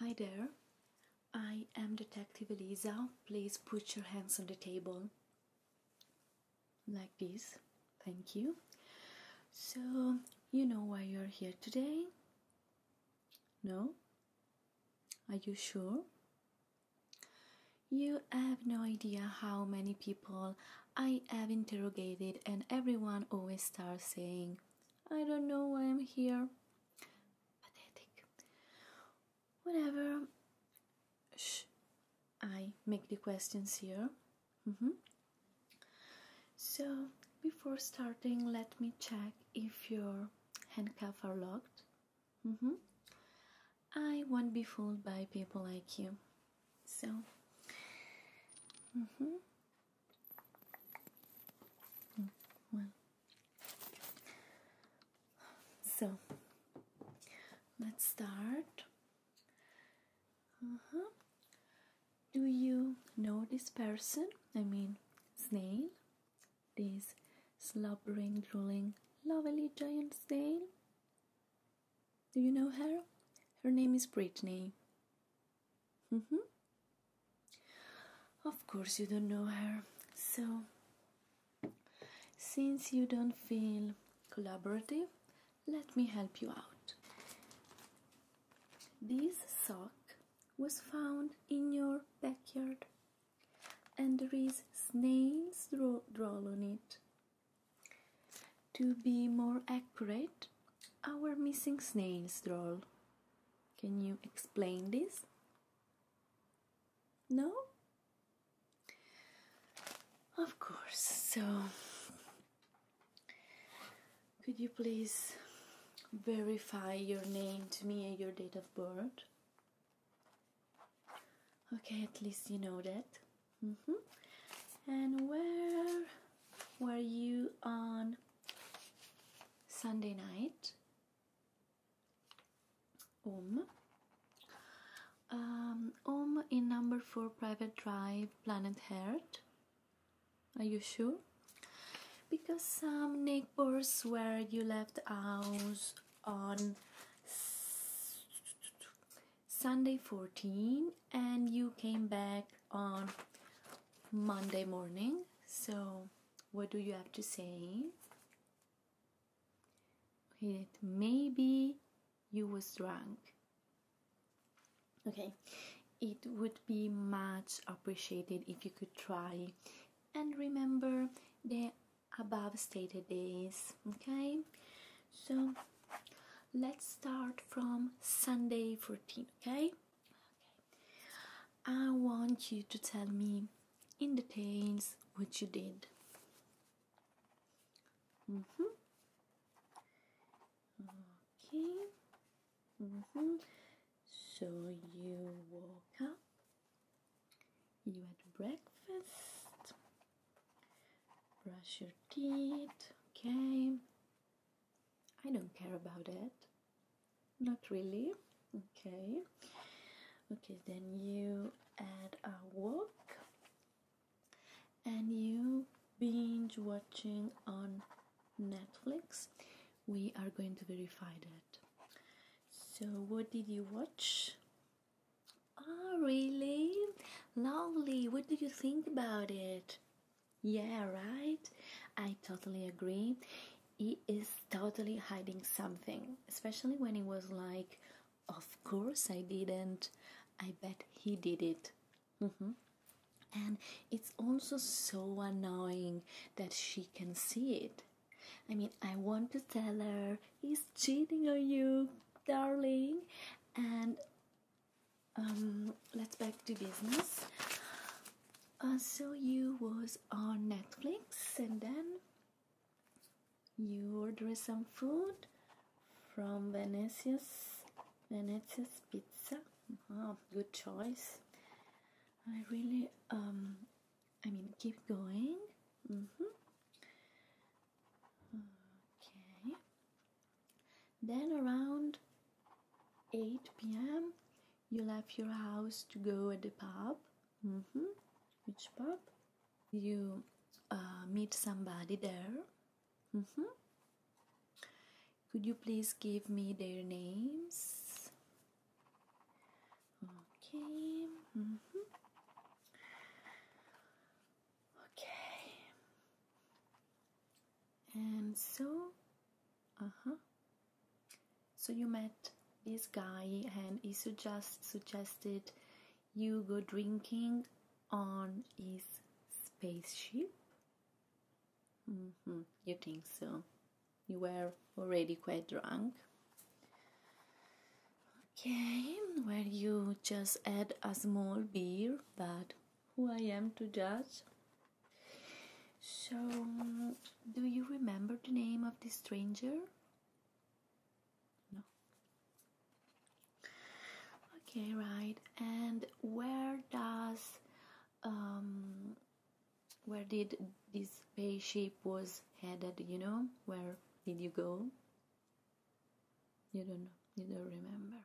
Hi there. I am Detective Eliza. Please put your hands on the table. Like this. Thank you. So, you know why you're here today? No? Are you sure? You have no idea how many people I have interrogated, and everyone always starts saying, I don't know why I'm here. Pathetic. Whatever. Shh. I make the questions here. Mm-hmm. So, before starting, let me check if your handcuffs are locked. Mm-hmm. I won't be fooled by people like you. So, mm-hmm. Oh, So let's start. Uh-huh. Do you know this person? I mean, snail? This slobbering, drooling, lovely giant snail? Do you know her? Her name is Brittany. Mm-hmm. Of course, you don't know her. So, since you don't feel collaborative, let me help you out. This sock was found in your backyard, and there is snails draw drawn on it. To be more accurate, our missing snails draw. Can you explain this? No? Of course. So, could you please verify your name to me and your date of birth? Okay, at least you know that. Mm-hmm. And where were you on Sunday night Om. Um, um, um, in number 4 private drive planet Heart. Are you sure? Because some neighbors where you left the house on Sunday 14 and you came back on Monday morning. So, what do you have to say? It maybe you was drunk. Okay, it would be much appreciated if you could try and remember the above stated days. Okay, so let's start from Sunday 14. Okay. I want you to tell me in details what you did. -hmm. Okay. -hmm. So you woke up. You had breakfast. Brush your teeth. Okay. I don't care about it. Not really. Okay. Okay, then you add a walk and you binge watching on Netflix. We are going to verify that. So, what did you watch? Oh, really? Lovely. What do you think about it? Yeah, right? I totally agree. He is totally hiding something, especially when he was like, Of course I didn't. I bet he did it. Mm-hmm. And it's also so annoying that she can see it. I mean, I want to tell her he's cheating on you, darling, and um, let's back to business. Uh, so you was on Netflix, and then you ordered some food from Venezia's Venezia's Pizza. Oh, good choice. I really, um, I mean, keep going. Mm -hmm. Okay. Then around 8 pm, you left your house to go at the pub. Mm-hmm. Which pub? You uh, meet somebody there. Mm-hmm. Could you please give me their names? Okay. Mm-hmm. Okay. And so, uh huh. So you met this guy, and he suggest suggested you go drinking on his spaceship. Mm -hmm. You think so? You were already quite drunk. Okay, well, you just had a small beer, but who I am to judge. So, do you remember the name of the stranger? No. Okay, right. And where does um, where did this spaceship was headed? You know, where did you go? You don't know, you don't remember.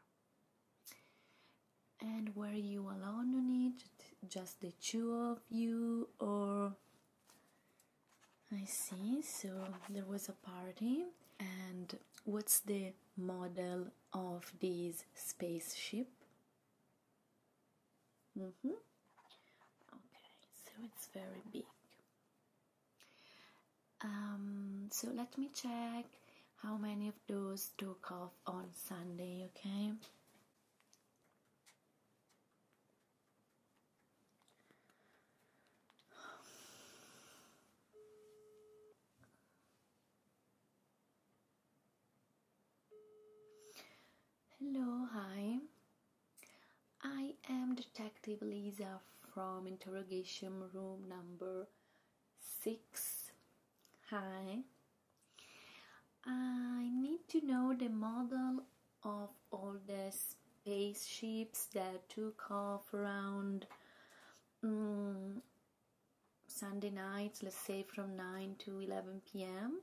And were you alone on it? Just the two of you, or I see. So there was a party, and what's the model of this spaceship? Mm hmm. Okay, so it's very big. Um, so let me check how many of those took off on Sunday, okay? Hello, hi. I am Detective Lisa from interrogation room number six. Hi. I need to know the model of all the spaceships that took off around mm, Sunday nights, let's say from 9 to 11 p.m.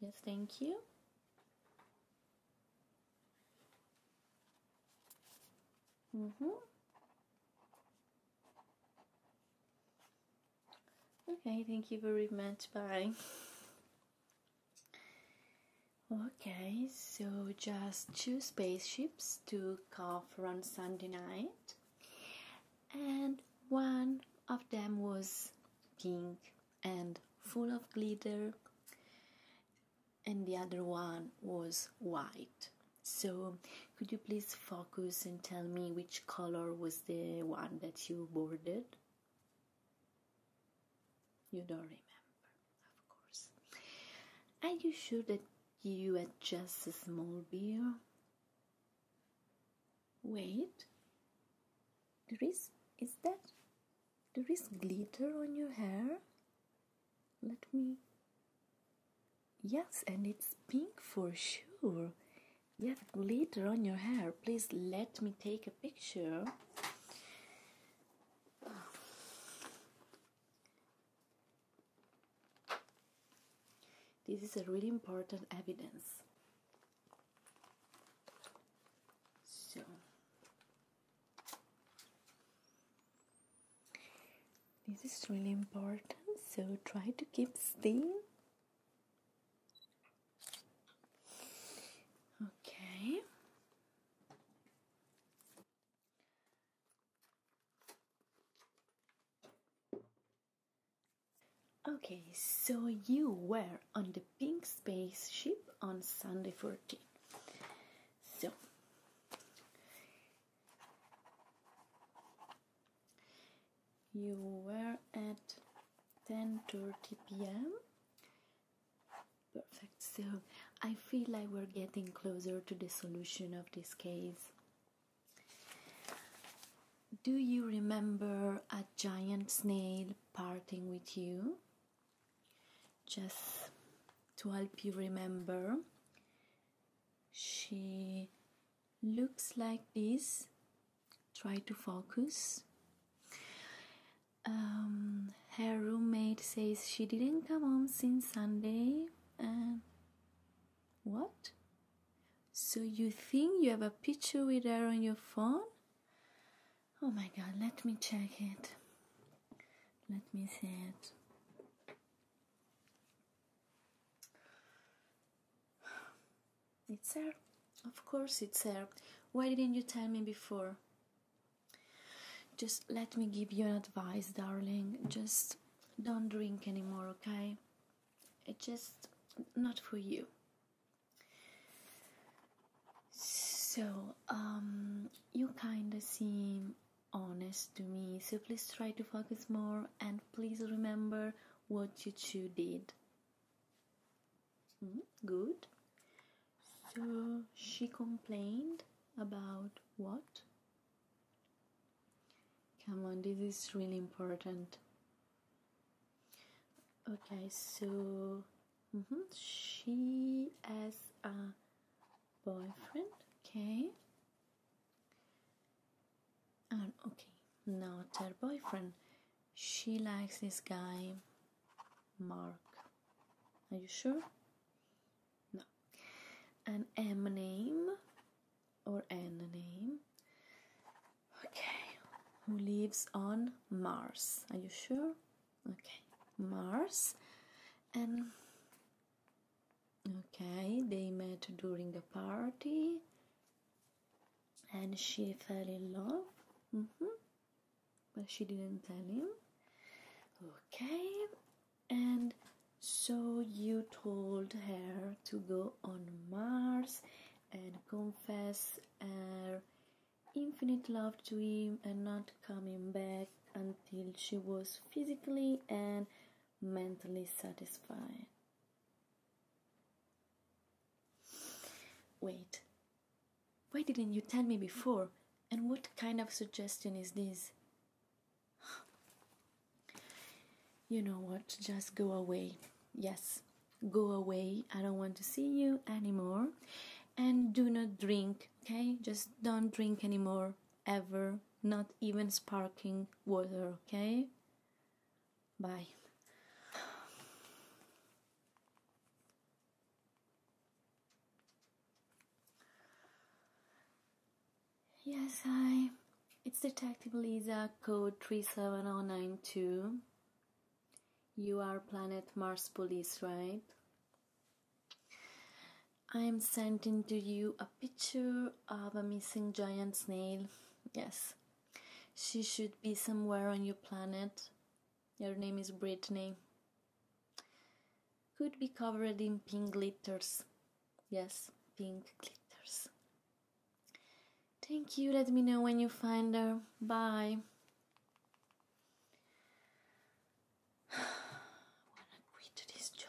Yes, thank you. Mm-hmm. Okay, thank you very much. Bye. Okay, so just two spaceships took off on Sunday night, and one of them was pink and full of glitter, and the other one was white. So, could you please focus and tell me which color was the one that you boarded? You don't remember, of course. Are you sure that you had just a small beer? Wait, there is, is that, there is glitter on your hair? Let me. Yes, and it's pink for sure. You have glitter on your hair. Please let me take a picture. This is a really important evidence. So, this is really important, so try to keep still. Okay. Okay, so you were on the pink spaceship on Sunday 14. So, you were at 10:30 p.m. Perfect. So, I feel like we're getting closer to the solution of this case. Do you remember a giant snail parting with you? just to help you remember she looks like this try to focus um, her roommate says she didn't come home since sunday and uh, what so you think you have a picture with her on your phone oh my god let me check it let me see it. It's her. Of course it's her. Why didn't you tell me before? Just let me give you an advice, darling. Just don't drink anymore, okay? It's just not for you. So, um, you kinda seem honest to me, so please try to focus more and please remember what you two did. Hmm, good. So, she complained about what? Come on, this is really important. Okay, so mm-hmm, she as a boyfriend. Okay. And ah, okay, now her boyfriend. She likes this guy, Mark. Are you sure? No. An M name or N name. Okay. Who lives on Mars? Are you sure? okay Mars and okay they met during a party and she fell in love mm -hmm. but she didn't tell him okay and so you told her to go on Mars and confess her infinite love to him and not coming back until she was physically and mentally satisfied. Wait, why didn't you tell me before? And what kind of suggestion is this? You know what, just go away. Yes, go away. I don't want to see you anymore and do not drink okay just don't drink anymore ever not even sparkling water okay bye yes I. it's detective lisa code 37092 you are planet mars police right I am sending to you a picture of a missing giant snail. Yes, she should be somewhere on your planet. Your name is Brittany. Could be covered in pink glitters. Yes, pink glitters. Thank you. Let me know when you find her. Bye. Wanna quit this job?